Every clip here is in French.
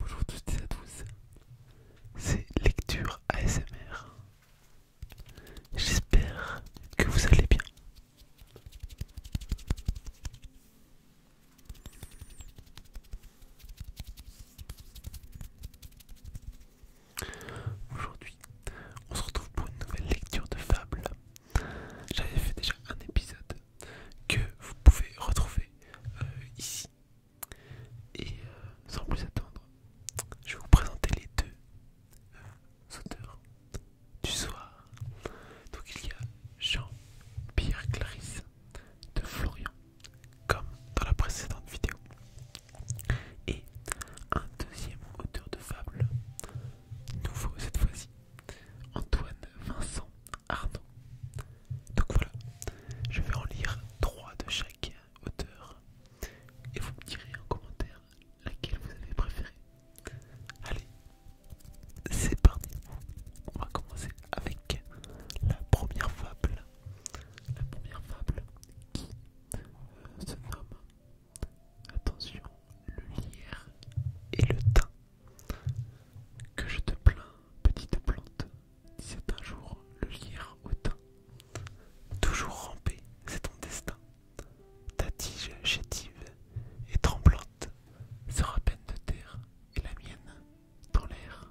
Bonjour toutes et à tous, c'est Lecture ASMR. J'espère que vous allez bien. Aujourd'hui, on se retrouve pour une nouvelle lecture de fable j'avais fait déjà un épisode que vous pouvez retrouver euh, ici. Et euh, sans plus attendre, je vais vous présenter les deux euh, auteurs du soir. Donc il y a Jean-Pierre Clarisse de Florian, comme dans la précédente vidéo, et un deuxième auteur de fable nouveau cette fois-ci. Antoine, Vincent, Arnaud. Donc voilà, je vais en lire trois de chaque auteur. Et vous me direz en commentaire laquelle vous avez préférée. Allez, c'est parti. On va commencer avec la première fable. La première fable qui euh, se nomme Attention, le lierre et le thym. Que je te plains, petite plante, c'est un jour le lierre au thym. Toujours ramper, c'est ton destin. Ta tige chétive et tremblante sera peine de terre et la mienne dans l'air.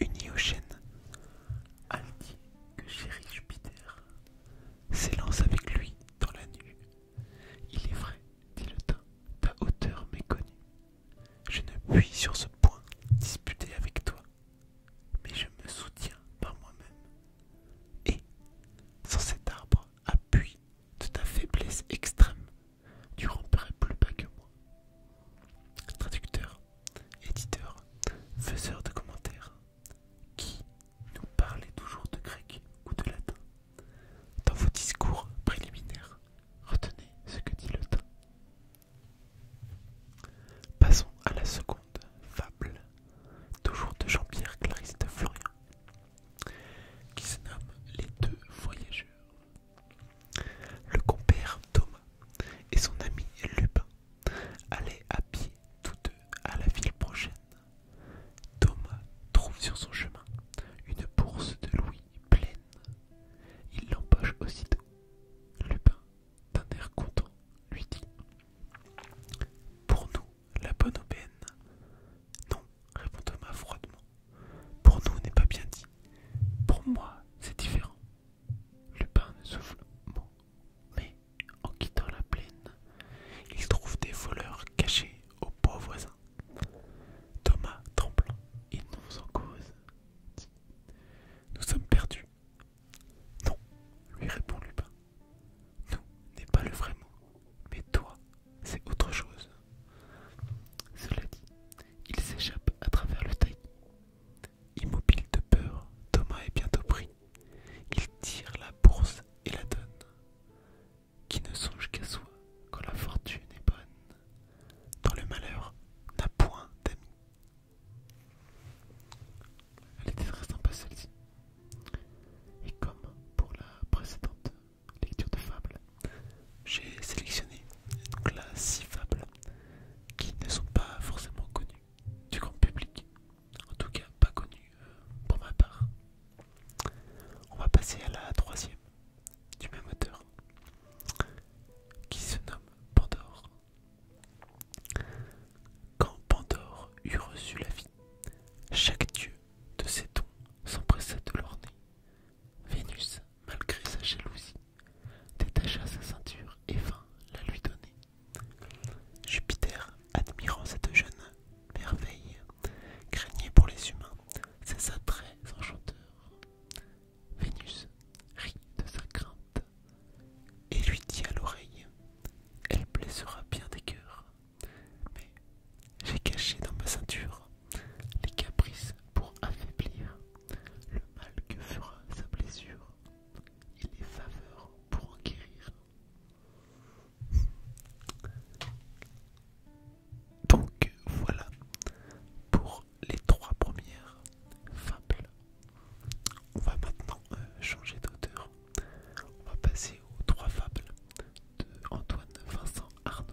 uni aux chênes, altier que chéris Jupiter, s'élance avec lui dans la nuit. Il est vrai, dit le temps, ta hauteur m'est connue. Je ne puis sur ce point disputer avec toi, mais je me soutiens par moi-même. Et, sans cet arbre, appui de ta faiblesse extrême, tu ramperais plus bas que moi. Traducteur, éditeur, faiseur de commentaires, qui nous parlait toujours de grec ou de latin. Dans vos discours préliminaires, retenez ce que dit le temps Passons à la seconde fable, toujours de Jean-Pierre Clarisse de Florian, qui se nomme Les deux voyageurs. Le compère Thomas et son ami Lupin Allez à pied tous deux à la ville prochaine. Thomas trouve sur son chemin une bourse de louis pleine. Il l'empoche aussitôt. Lupin, d'un air content, lui dit Pour nous, la bonne aubaine. Non, répond Thomas froidement. Pour nous n'est pas bien dit. Pour moi, c'est différent. Lupin ne souffle mot, mais en quittant la plaine, il trouve des voleurs cachés au beaux voisin. Thomas, tremblant et nous en cause, dit Nous sommes perdus. Non, lui répond Lupin. Nous n'est pas le vrai mot, mais toi, c'est autre chose. Cela dit, il s'échappe à travers le taillis. Immobile de peur, Thomas est bientôt pris. Il tire la bourse et la donne. Qui ne songe qu'à soi quand la fortune est bonne. Dans le malheur, n'a point d'amis. Elle était très sympa celle-ci. Et comme pour la précédente lecture de fable, j'ai sélectionné une classe fable qui ne sont pas forcément connus du grand public, en tout cas pas connus euh, pour ma part. On va passer à la troisième du même auteur qui se nomme Pandore. Quand Pandore eut reçu la vie, chaque dieu de ses dons s'empressa de l'orner. Vénus, malgré sa jalousie, détacha sa ceinture et vint la lui donner. Jupiter, admirant cette jeune merveille, craignait pour les humains ses attraits enchanteurs. Vénus rit de sa crainte et lui dit à l'oreille Elle blessera bien des cœurs, mais j'ai caché dans ma ceinture les caprices pour affaiblir le mal que fera sa blessure et les faveurs pour en guérir. Donc voilà pour les trois premières fables. On va maintenant euh, changer d'auteur. On va passer aux trois fables de Antoine Vincent Arnaud.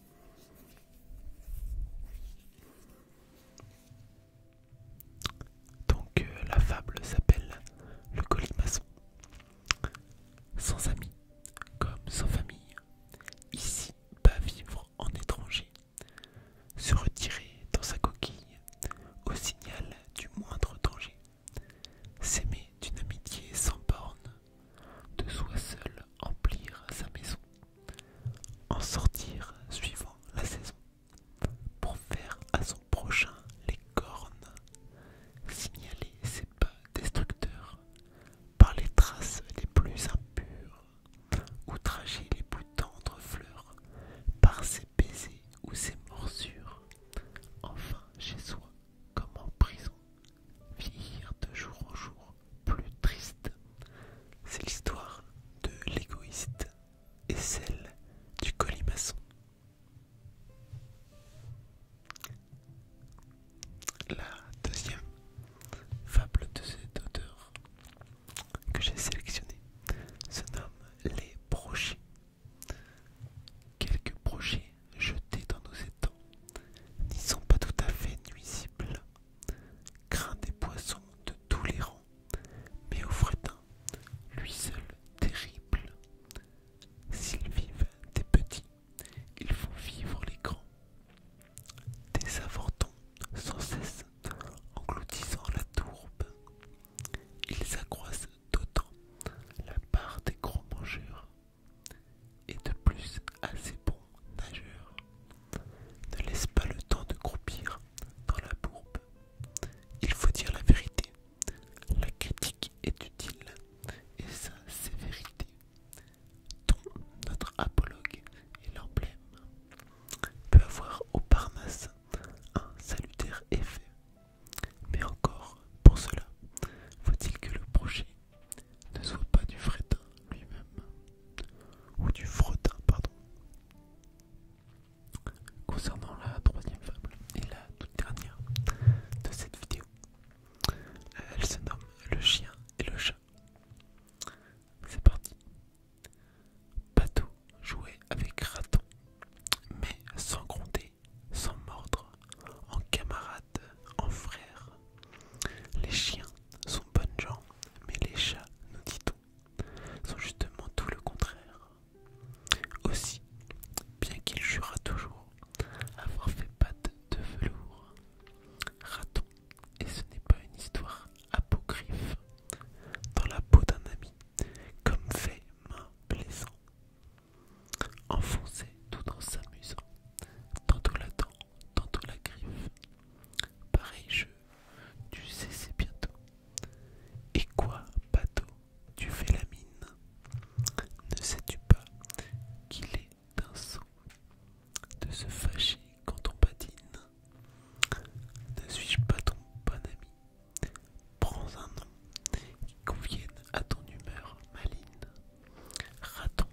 Donc euh, la fable s'appelle le colimaçon. Sans amis, comme sans famille, ici pas vivre en étranger, se retirer dans sa coquille au signal du moindre danger, s'aimer d'une amitié sans borne, de soi seul emplir sa maison, en sortir suivant la saison, pour faire à son prochain les cornes, signaler ses pas destructeurs par les traces les plus impures, ou outrager les plus tendres fleurs par ses baisers ou ses morsures, enfin chez soi comme en prison. Vire de jour en jour plus triste. C'est l'histoire de l'égoïste et celle du colimaçon. La deuxième fable de cet auteur que j'ai sélectionnée se nomme Les brochets Quelques projets jetés dans nos étangs n'y sont pas tout à fait nuisibles. Craint des poissons de tous les rangs, mais au frétin, lui seul terrible. S'ils vivent des petits, ils font vivre les grands. Des avortons sans cesse engloutissant la tourbe. Ils accroissent d'autant la part des gros mangeurs, et de plus assez bons nageurs. Ne laisse pas le temps de croupir dans la bourbe. Il faut dire la vérité. La critique est utile et sa sévérité, dont notre apologue est l'emblème, peut avoir au Parnasse un salutaire effet. Mais encore, pour cela, faut-il que le projet ne soit pas du fretin lui-même, ou du fretin, pardon. Concernant la troisième fable et la toute dernière de cette vidéo, euh, elle se nomme Le chien et le chat. C'est parti. Patou jouait avec Raton, mais sans compter sans mordre, en camarades, en frères. Les chiens sont bonnes gens, mais les chats, nous dit-on, sont justement tout le contraire. Aussi, bien qu'il jura toujours avoir fait pâte de velours, raton, et ce n'est pas une histoire apocryphe, dans la peau d'un ami, comme fait main plaisant, enfoncé tout en s'amusant, tantôt la dent, tantôt la griffe. Pareil jeu, tu sais c'est bientôt. Et quoi, bateau, tu fais la mine Ne sais-tu pas qu'il est d'un sang de se fâcher quand on patine Ne suis-je pas ton bon ami Prends un nom qui convienne à ton humeur maligne. Raton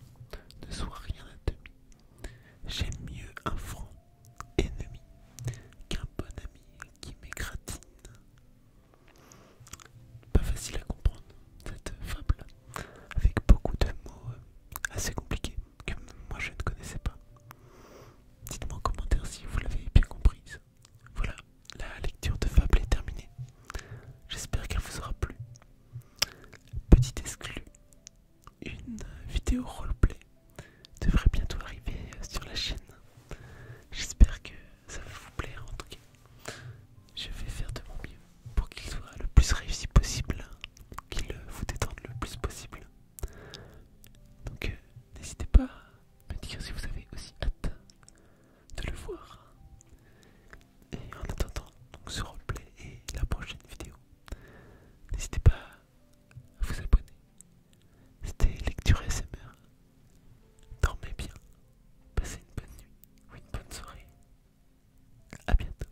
ne sois rien à demi. J'aime mieux un franc ennemi qu'un bon ami qui m'écratine. Pas facile à comprendre cette fable, avec beaucoup de mots euh, assez compliqués que moi je ne connaissais pas. Dites-moi en commentaire si vous l'avez bien comprise. Voilà, la lecture de Fable est terminée. J'espère qu'elle vous aura plu. Petite exclu, une vidéo roleplay devrait bientôt arriver sur la chaîne. J'espère que ça va vous plaire en tout cas. Je vais faire de mon mieux pour qu'il soit le plus réussi possible, qu'il vous détende le plus possible. Donc euh, n'hésitez pas à me dire si vous avez aussi hâte de le voir. Et en attendant ce replay et la prochaine vidéo, n'hésitez pas à vous abonner. C'était Lecture SMR. Dormez bien, passez une bonne nuit ou une bonne soirée. A bientôt.